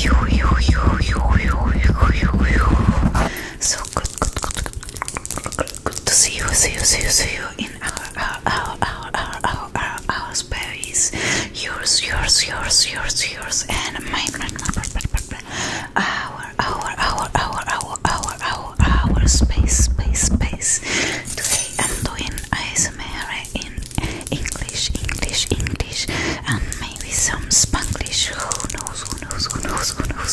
You, you, you, you, you, you, you, So good, good, good, good, good, good to see you, see you, see you, see you in our, our, our, our, our, our, our, space. Yours, yours, yours, yours, yours, and mine, mine, our, our, our, our, our, our, our, space, space, space. Today I'm doing ASMR in English, English, English, and maybe some Spanglish. Who knows? Who knows? Who knows? Who knows?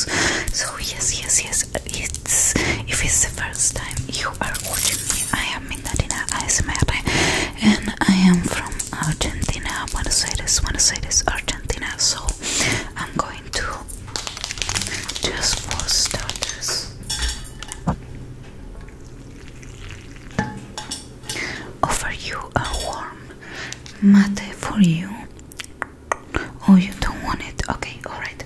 So yes, yes, yes. It's if it's the first time you are watching me, I am Mindarina ASMR, and I am from Argentina, Want to say this? Argentina. So I'm going just for starters. Offer you a warm mate for you. Oh, you don't want it? Okay, alright.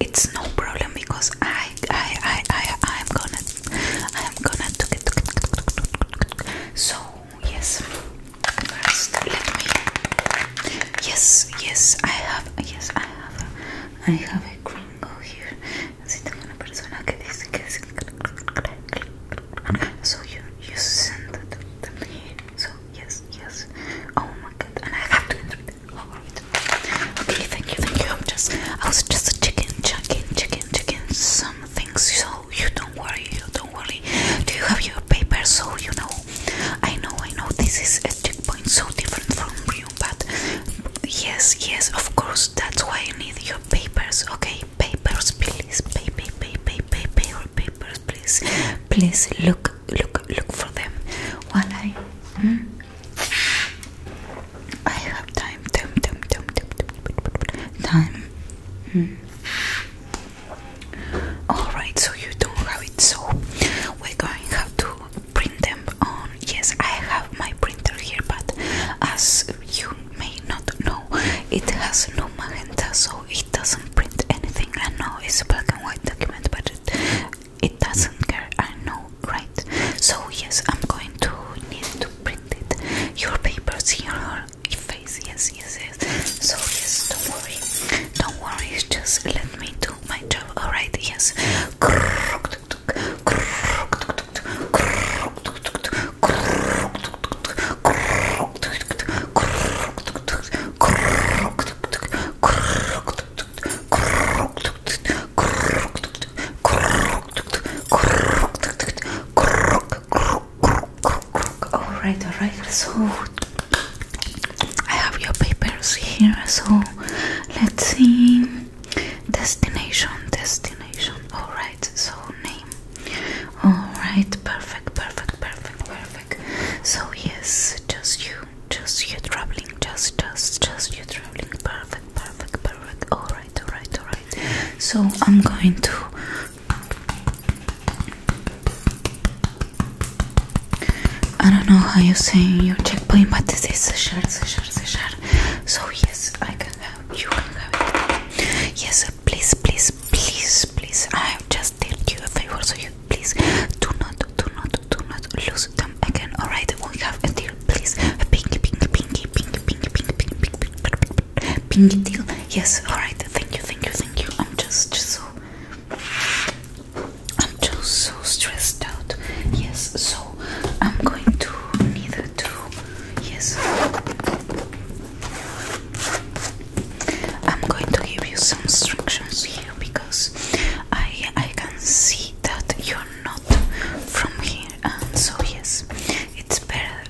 It's no problem because I, I, I, I, I'm gonna, I'm gonna do it. So yes. First, let me. Yes, yes, I have. Yes, I have. I have a gringo here. Así tengo una persona que dice que So you, you send the to me. So yes, yes. Oh my god, and I have to. Oh, okay, thank you, thank you. I'm just. I was just a chicken. Chicken. Chicken. Chicken. things. So you don't worry, you don't worry. Do you have your papers? So you know, I know, I know. This is a checkpoint so different from you, but yes, yes, of course. That's why you need your papers. Okay, papers, please. Pay, pay, pay, pay, papers, please. Please look, look, look for them. While I, hmm? I have time, time, time, time. time. Hmm. Alright, so you don't have it, so we're going to have to print them on. Yes, I have my printer here, but as you may not know, it has no magenta, so it doesn't print anything. I know it's a black and white document, but it, it doesn't care. I know, right? So, yes, I'm going to need to print it. Your papers here your Yes, yes, yes. So yes, don't worry, don't worry. Just let me do my job. All right. Yes. Alright, alright, so I have your papers here, so let's see. Destination, destination, alright, so name. Alright, perfect, perfect, perfect, perfect. So, yes, just you, just you traveling, just, just, just you traveling, perfect, perfect, perfect. Alright, alright, alright. So, I'm going to I don't know how you say your checkpoint, but this is a shard, a shard, a shard. So yes, I can have you can have it. Yes, please, please, please, please. I have just did you a favor, so you please do not, do not, do not lose them again. Alright, we have a deal. Please, pinky, pinky, pinky, pinky, pinky, pinky, pinky, pinky, pinky, pinky, pinky tail. Yes, alright, thank you, thank you, thank you. I'm just, so I'm just so stressed out. Yes, so I'm going to need to yes. I'm going to give you some instructions here because I I can see that you're not from here and um, so yes it's better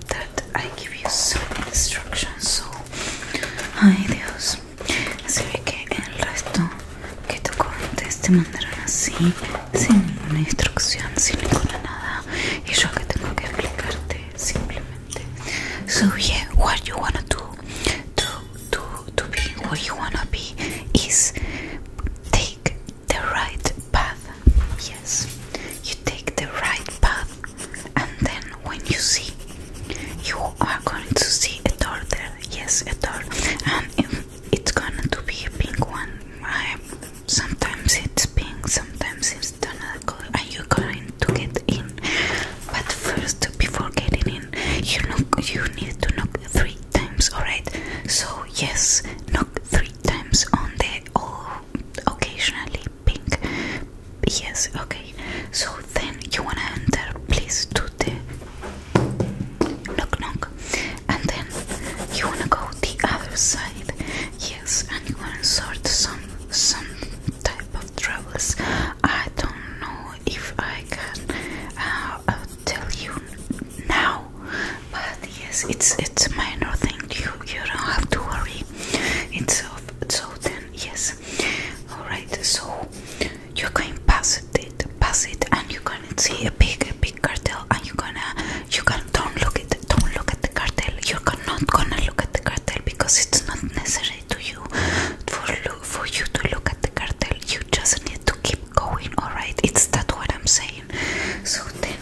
I give you some instructions. So, ay Dios, así que el resto que te conté te mandaron así, sin ninguna instrucción, sin ninguna nada. Y yo que tengo que explicarte simplemente. So yeah, what you wanna do to to to be what you wanna be is take the right path Yes, you take the right path, and then when you see, you are going to see a door there. Yes, a door, and it's going to be a pink one. I, sometimes it's pink, sometimes it's another color, and you're going to get in. But first, before getting in, you need to knock three times. All right. So yes, knock three times on the. door occasionally pink. Yes, okay. So then you wanna enter, please, do the knock knock, and then you wanna go the other side. Yes, and you wanna sort some some type of troubles. I don't know if I can uh, uh, tell you now, but yes, it's it's minor thing. You you don't have to worry. It's so then yes all right so you're going past it pass it and you're gonna see a big big cartel and you're gonna you can don't look at don't look at the cartel you're not gonna look at the cartel because it's not necessary to you for you to look at the cartel you just need to keep going all right it's that what i'm saying so then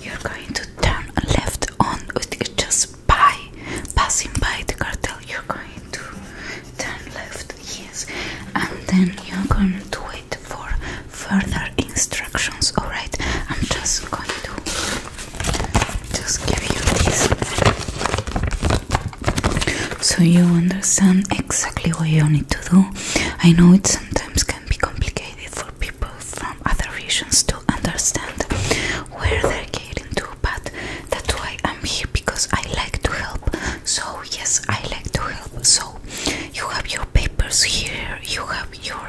you're going to turn left on just by passing by the cartel. You're going to turn left, yes, and then you're going to wait for further instructions. All right, I'm just going to just give you this so you understand exactly what you need to do. I know it sometimes can be complicated for people from other regions to understand where they're getting to, but that's why I'm here because I like to help. So, yes, I like to help. So, you have your papers here, you have your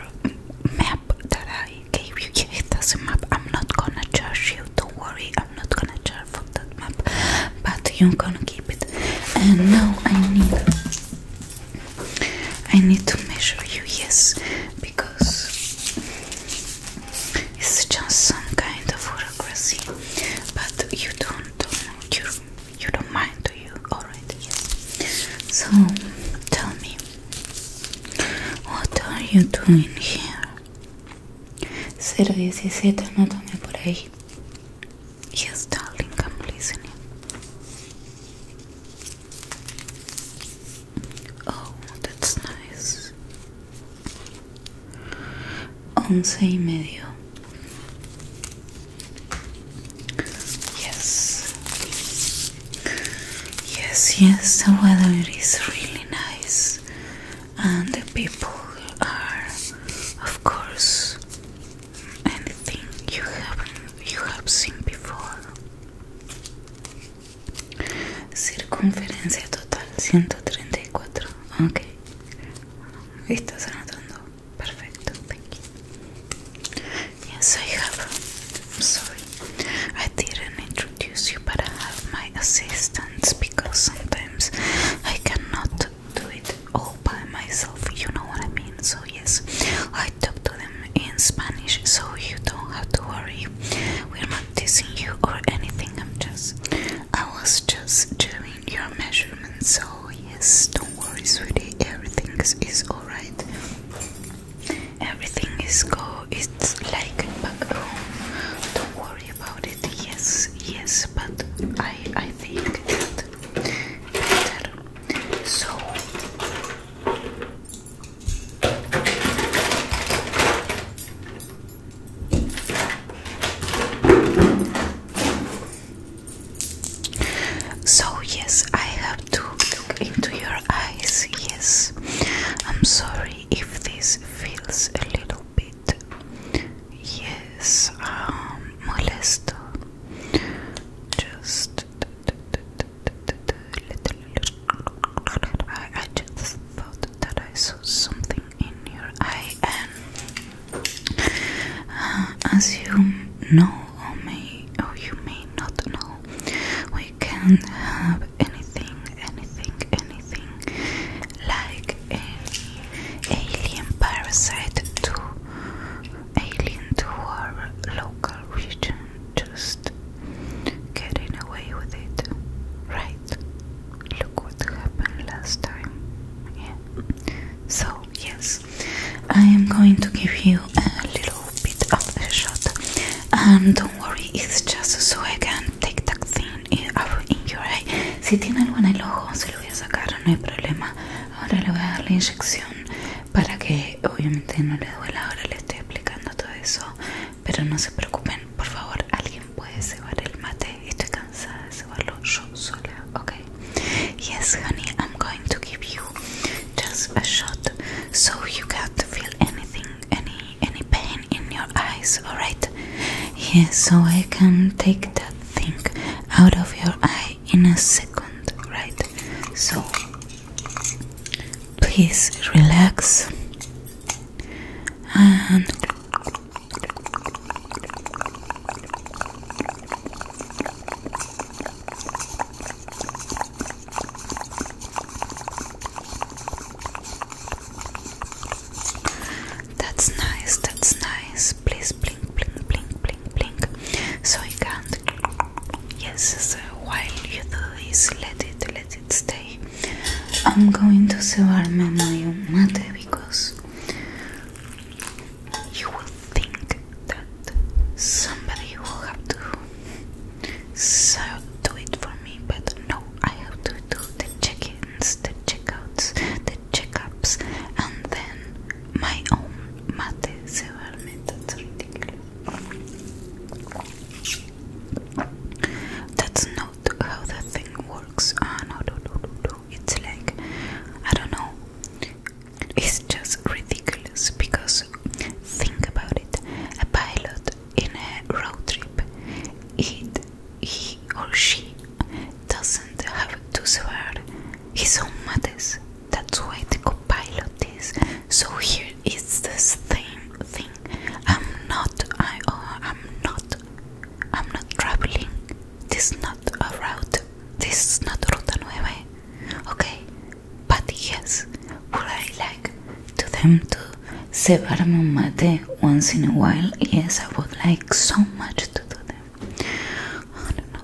map that I gave you. Yeah, it doesn't map. I'm not gonna charge you, don't worry, I'm not gonna charge for that map, but you're gonna keep it. And now I need I need to measure you, yes, because it's just some kind of bureaucracy. But you don't, you, you don't mind, do you? Alright, yes. So tell me, what are you doing here? 017, no tome por ahí. Yes, darling, I'm listening. Oh, that's nice. Once Yes. Yes, yes, the weather is really nice. And the people are, of course, anything you have you have seen before. Circunferencia total 134. Ok. ¿Estás anotando? Perfecto. Thank you. Yes, I have. I'm sorry. I didn't introduce you, but I have my assistants because sometimes I cannot do it all by myself. You know what I mean? So yes. I talk to them in Spanish, so you don't have to worry. We're not teasing you or anything. I'm just, I was just doing your measurements, so yes, don't worry, sweetie. Everything is, alright. Everything is go. It's like back home. Don't worry about it. Yes, yes, but I, I think that better. So. So, yes, I have to look into your eyes. Yes, I'm sorry if this feels a little bit, yes, um, molesto. Just I just thought that I saw something in your eye, and uh, as you know, or may, or you may not know, we can have anything, anything, anything, like any alien parasite to alien to our local region, just getting away with it, right? Look what happened last time. So, yes, I am going to give you a little bit of a shot. And don't worry, it's just so I can take that thing out in your eye. Si tiene algo en el ojo, se lo voy a sacar, no hay problema. Ahora le voy a dar la inyección para que obviamente no le duela. Ahora le estoy aplicando todo eso Pero no se preocupen, por favor Alguien puede cebar el mate Estoy cansada de cebarlo yo sola Ok Yes honey, I'm going to give you Just a shot So you can't feel anything Any, any pain in your eyes Alright Yes, so I can take that thing Out of your eye in a second Right So Please relax and that's nice, that's nice. Please blink, blink, blink, blink, blink so you can't Yes, so while you do this, let it, let it stay. I'm going to cebarme my own mate because you will think that somebody will have to so do it for me, but no, I have to do the check-ins, the check-outs, the check-ups, and then my own mate cebarme. That's ridiculous. That's not how the thing works. Ah, no, no, no, no, no. It's like, I don't know. It's just ridiculous because think about it. A pilot in a road trip, it, he or she doesn't have to swear his own mother's. That's why the co-pilot is so here it's this thing thing I'm not I oh, I'm not I'm not traveling this is not a route this is not a Ruta 9 okay but yes would I like to them to separarme my day once in a while yes I would like so much to do them I don't know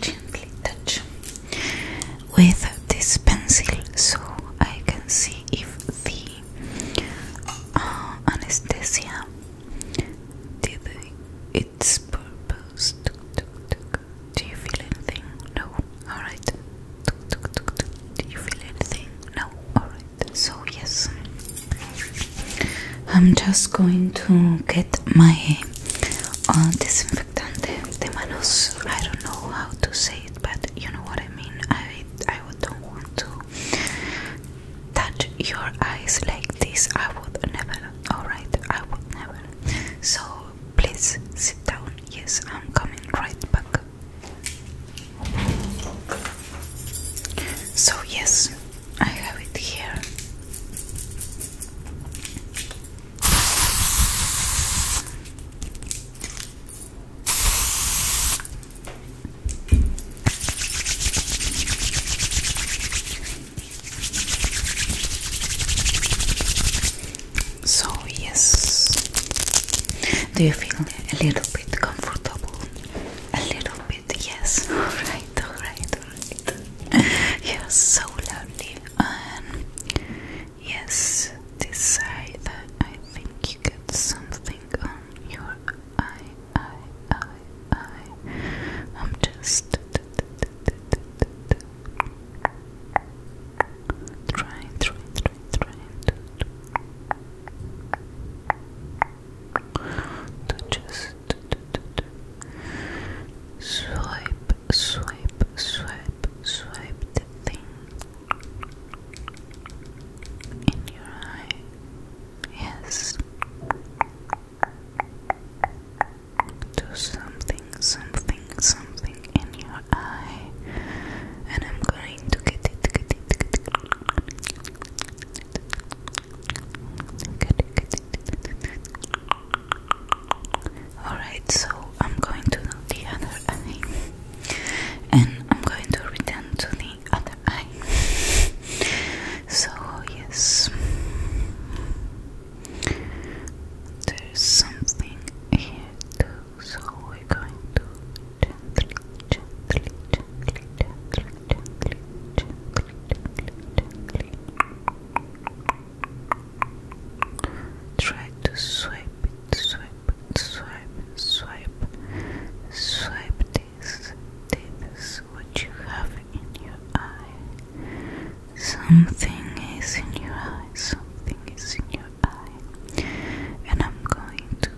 gently touch with this pencil so I can see if the uh, anesthesia did its purpose. Do you feel anything? No. Alright. Do you feel anything? No. Alright. So, yes. I'm just going to get my all uh, disinfectante de I don't know how to say it, but you know what I mean. I I would not want to touch your eyes like this. I would never. All right, I would never. So please sit down. Yes, I'm coming right back. So yes, I have it here. So, yes, do you feel a little bit comfortable? A little bit, yes. All right, all right, all right. You're so lovely yes, this I think you got something on your eye, eye, eye, eye. I'm just trying, trying, trying, trying to, to just Swipe, swipe, swipe, swipe the thing in your eye. Yes. Do something, something, something in your eye, and I'm going to get it, get it, get it, get it, get it, get it, Alright, so I'm going to the other eye and I'm going to return to the other eye. So, yes, there's something here too, so we're going to gently, Try to swipe swipe swipe swipe, swipe this. This what you have in your eye. Something is in your eye. Something is in your eye, and I'm going to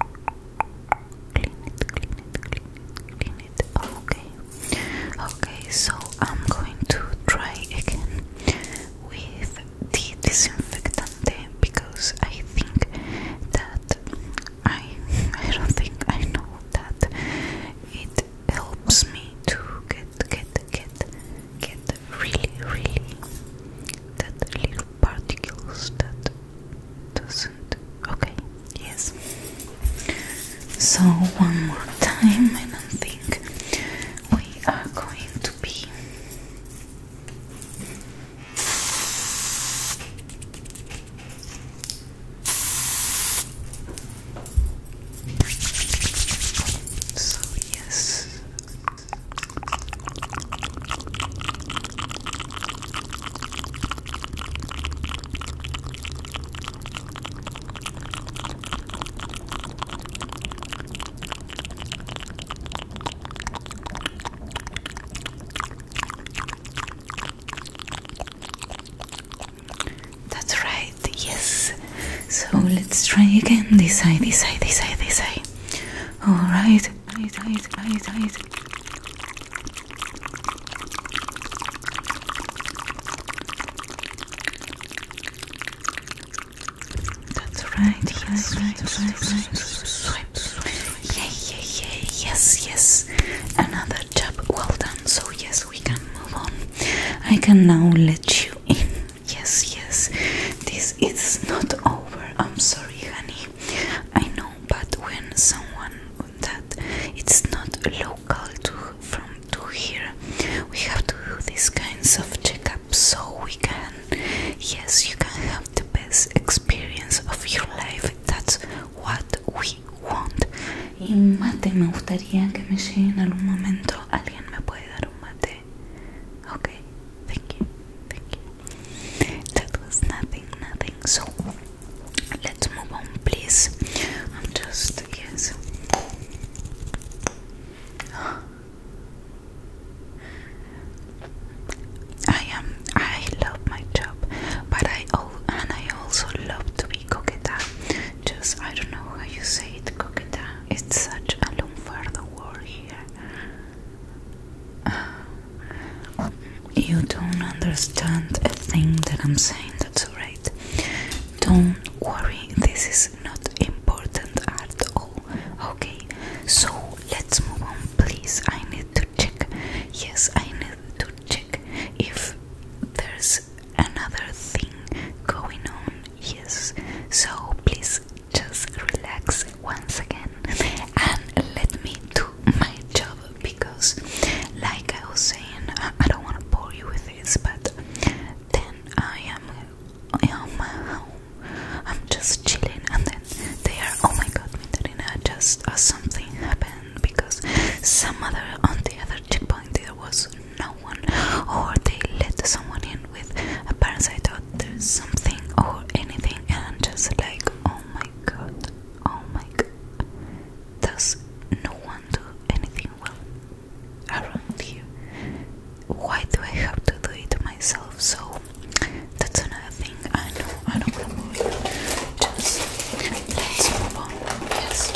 clean it, clean it, clean it, clean it. Okay, Okay, so I'm going to try again with the disinfectant because I think that I I don't think I know that it helps me to get get get get really really that little particles that doesn't okay yes so, one more time, I don't think we are going to be so yes. That's right, yes. So let's try again this side, this side, this side, this side. Alright, right, right, right, that's right, yes, Yeah, yeah, yeah, yes, yes. Another job well done. So, yes, we can move on. I can now let you in. Yes, yes. This is not over. I'm sorry, honey. I know, but when someone that it's not local to from to here we have to do these kinds of checkups so we can yes you can have the best experience of your life that's what we want y mate me gustaría que me llegue en algún momento alguien me puede dar un mate okay thank you thank you that was nothing nothing so let's move on please I'm just yes I am. I love my job, but I and I also love to be coqueta. Just I don't know how you say it, coqueta. It's such a lunfardo word here. Uh, you don't understand a thing that I'm saying. That's alright. Don't worry, this is not important at all. Okay, so let's move on, please. I need to check. Yes, I need to check if there's another thing going on. Yes, so please just relax once again and let me do my job because, like I was saying, I don't want to bore you with this, but then I am, I am I'm just chilling, and then they are. Oh my God, Mindarina! Just uh, something happened because some other on the other checkpoint there was no one, or they let someone in with a thought there's something or anything, and just like, oh my God, oh my God, does no one do anything well? around here. Why do I have to do it myself? So that's another thing. I know I don't move let's move on. Yes.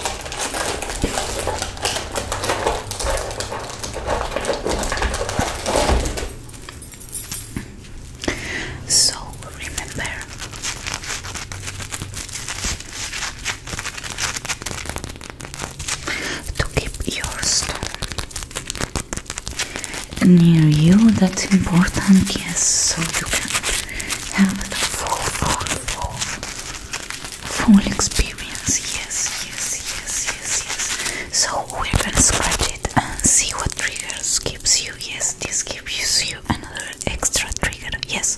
So remember to keep your store near you. That's important, yes, so you can have the full, full, full, full experience. Yes, yes, yes, yes, yes. So we're gonna scratch it and see what triggers gives you. Yes, this gives you another extra trigger. Yes,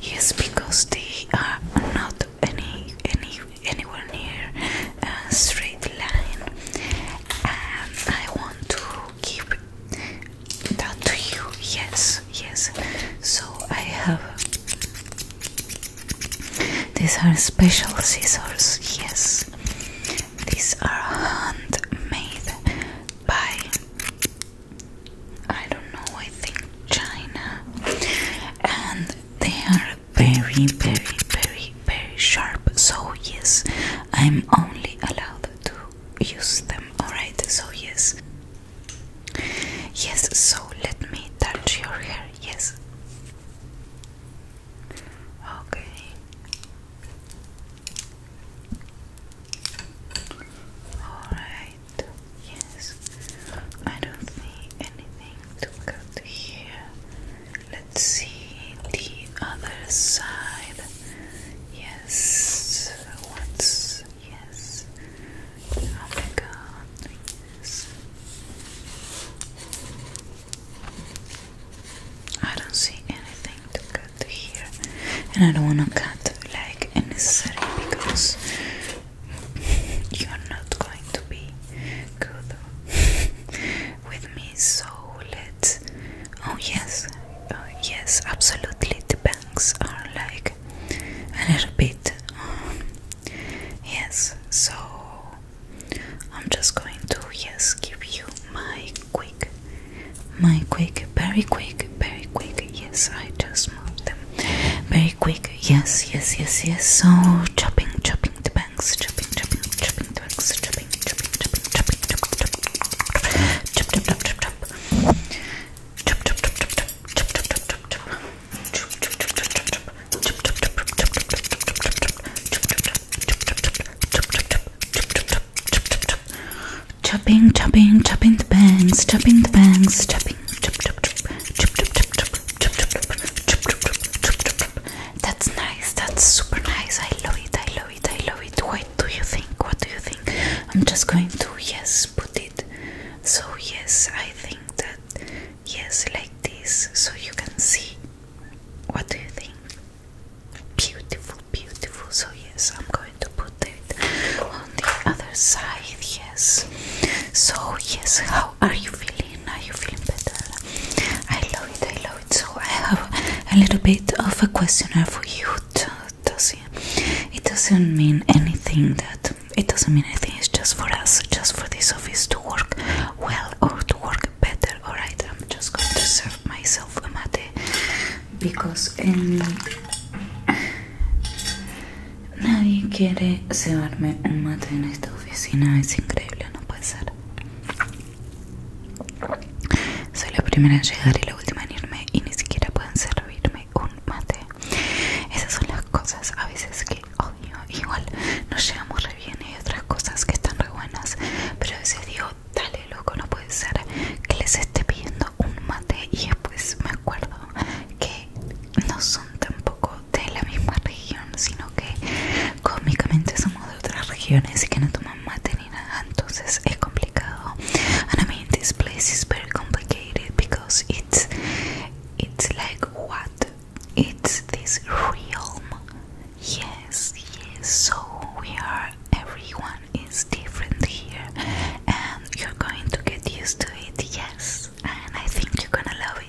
Yes, because they are not any any anywhere near a straight line, and I want to give that to you. Yes, yes. So I have these are special scissors. Yes, these are handmade by I don't know, I think China, and they are very, very, very, very sharp. So, yes, I'm only allowed to use them, alright? So, yes, yes, so let me touch your hair, yes, okay. All right. Yes. I don't see anything to cut to here. Let's see the other side. Yes. What's yes? Oh my god. Yes. I don't see anything to cut here, and I don't want to cut like unnecessary because You're not going to be good with me, so let Oh, yes, uh, yes, absolutely. The banks are like. a little bit. Uh, yes, so I'm just going to, yes, give you my quick, my quick, very quick, very quick. Yes, I just moved them very quick Yes, yes, yes, yes. So chopping, chopping the banks, chopping, chopping, chopping the banks, chopping, chopping, chopping, chopping, chopping, chopping, chop, chop, chop, chop, chop, chop, chop, chop, chop, chop, chop, chop, chop, chop, chopping, chopping, chopping the bangs, chopping the bangs, chopping. That's nice. That's super nice. I love it. I love it. I love it. What do you think? What do you think? I'm just going to yes put it. So yes, I think that yes like this so you can see. What do you think? Beautiful, beautiful. So yes, I'm going to put it on the other side, yes. So, yes, how are you feeling? Are you feeling better? I love it, I love it. So, I have a little bit of a questionnaire for you. It doesn't mean anything that it doesn't mean anything, it's just for us, just for this office to work well or to work better. Alright, I'm just going to serve myself a mate because in. Um, Nadie quiere cebarme un mate en esta oficina, es increíble, no puede ser. Soy la primera en llegar y la última en irme y ni siquiera pueden servirme un mate. Esas son las cosas a veces que odio. Igual nos llevamos re bien y otras cosas que están re buenas, pero a veces digo, dale loco, no puede ser que les esté pidiendo un mate y después me acuerdo que no son tampoco de la misma región, sino que cómicamente somos de otras regiones y que no tomamos mate ni nada, entonces es complicado. y I mean, this place is very complicated because it's it's like what? It's this realm. Yes, yes. So we are. Everyone is different here, and you're going to get used to it. Yes. and I think you're gonna love it.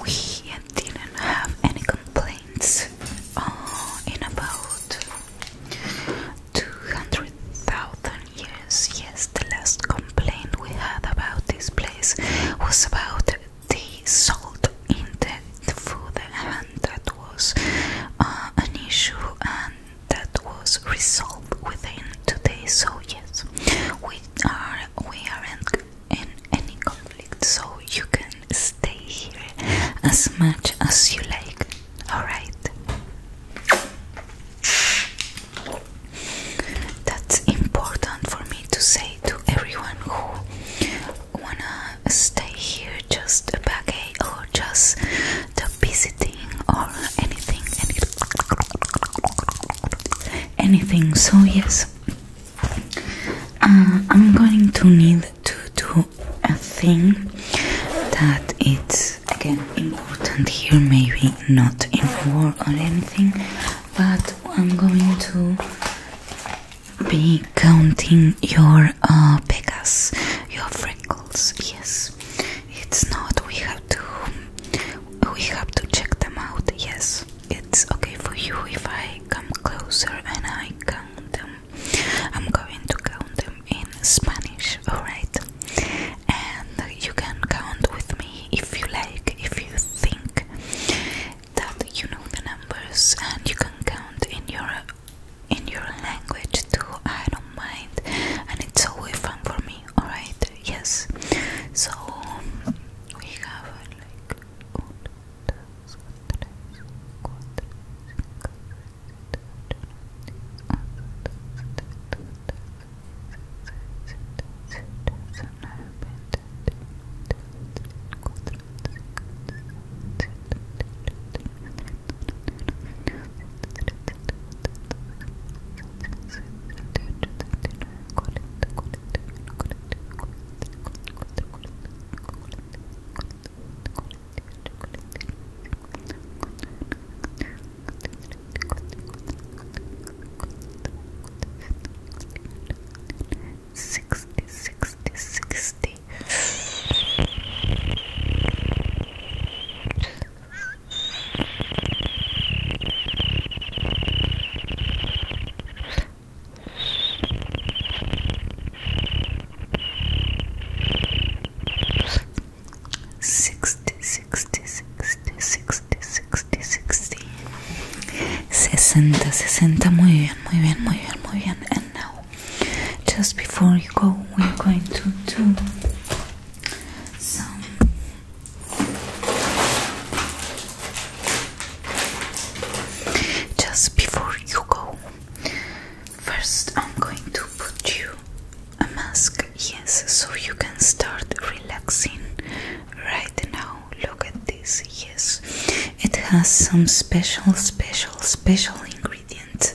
We didn't have any complaints uh, in about 200,000 years. Yes, the last complaint we had about this place was about the salt in the food, and that was uh, an issue. And that was resolved within today. So yes, we are we aren't in any conflict. So you can stay here as much as you like. All right. That's important for me to say to everyone who wanna stay here, just a baggy eh, or just the visiting or anything, anything, So yes, uh, I'm going to need to do a thing that it's again important here, maybe not in war or anything, but I'm going to be counting your uh, pegas, your freckles. Yes, it's not. We have to. We have to check them out. Yes, it's okay for you if I come closer and I count them. I'm going to count them in Spanish. All right, and you can count with me if you like. If you think that you know the numbers, and you can count in your in your language too. I don't mind, and it's so fun for me. All right, yes. So we have like Sixty, sixty, sixty. Sixty, sixty, sixty, sixty, sixty, sixty. Sesenta, sesenta. Muy bien, muy bien, muy bien, muy And now, just before you go, we're going to do some just before you go first I'm going to put you a mask yes so you can start relaxing right now look at this yes it has some special special special ingredient.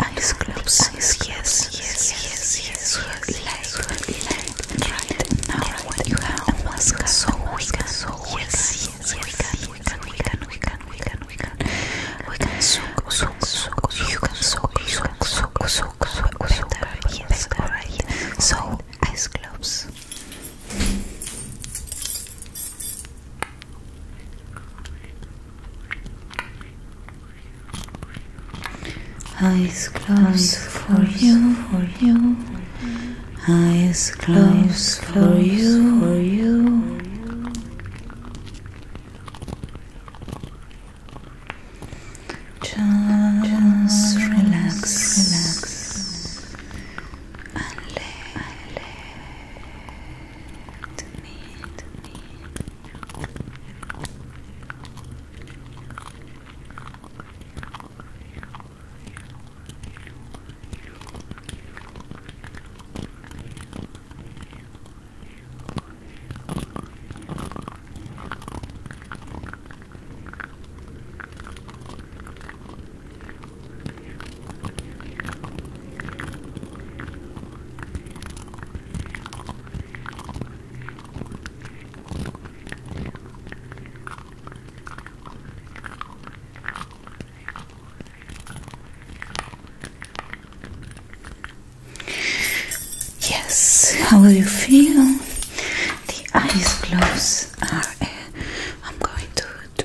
eyes closed, eyes yes, yes, yes, yes, like right now what you have a mask, so we can, so yes, yes, we can, we can, we can, we can, we can, we can, we can soak, soak, soak, you can soak, soak, soak, soak, soak, better, yes, alright, so eyes closed. Eyes closed for you, for you. Eyes closed for you, for you. Just relax, relax, and lay, to me, to me. Yes, how do you feel? The eyes close. Eh, I'm going to,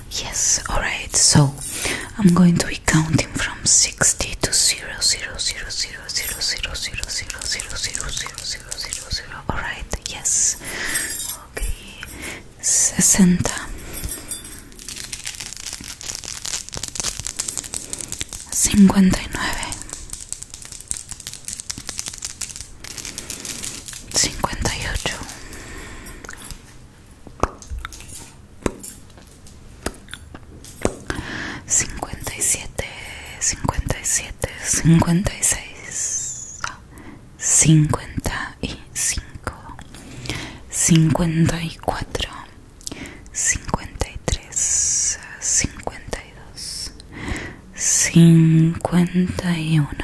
Yes, alright, so I'm going to be counting from 60 to 0, alright, yes, okay, 60, 59, 58 57 57 56 55 54 53 52 51 50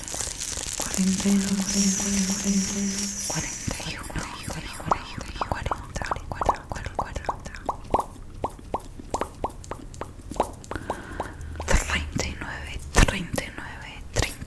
39, 38, cuarenta 39, cuarenta 39, cuarenta 39, 39, 39,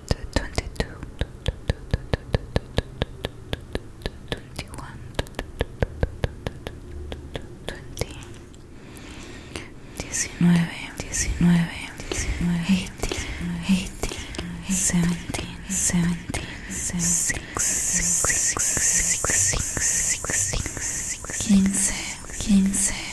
22 21 20 19 19 18 18 17 17 6 6 6 6 15 15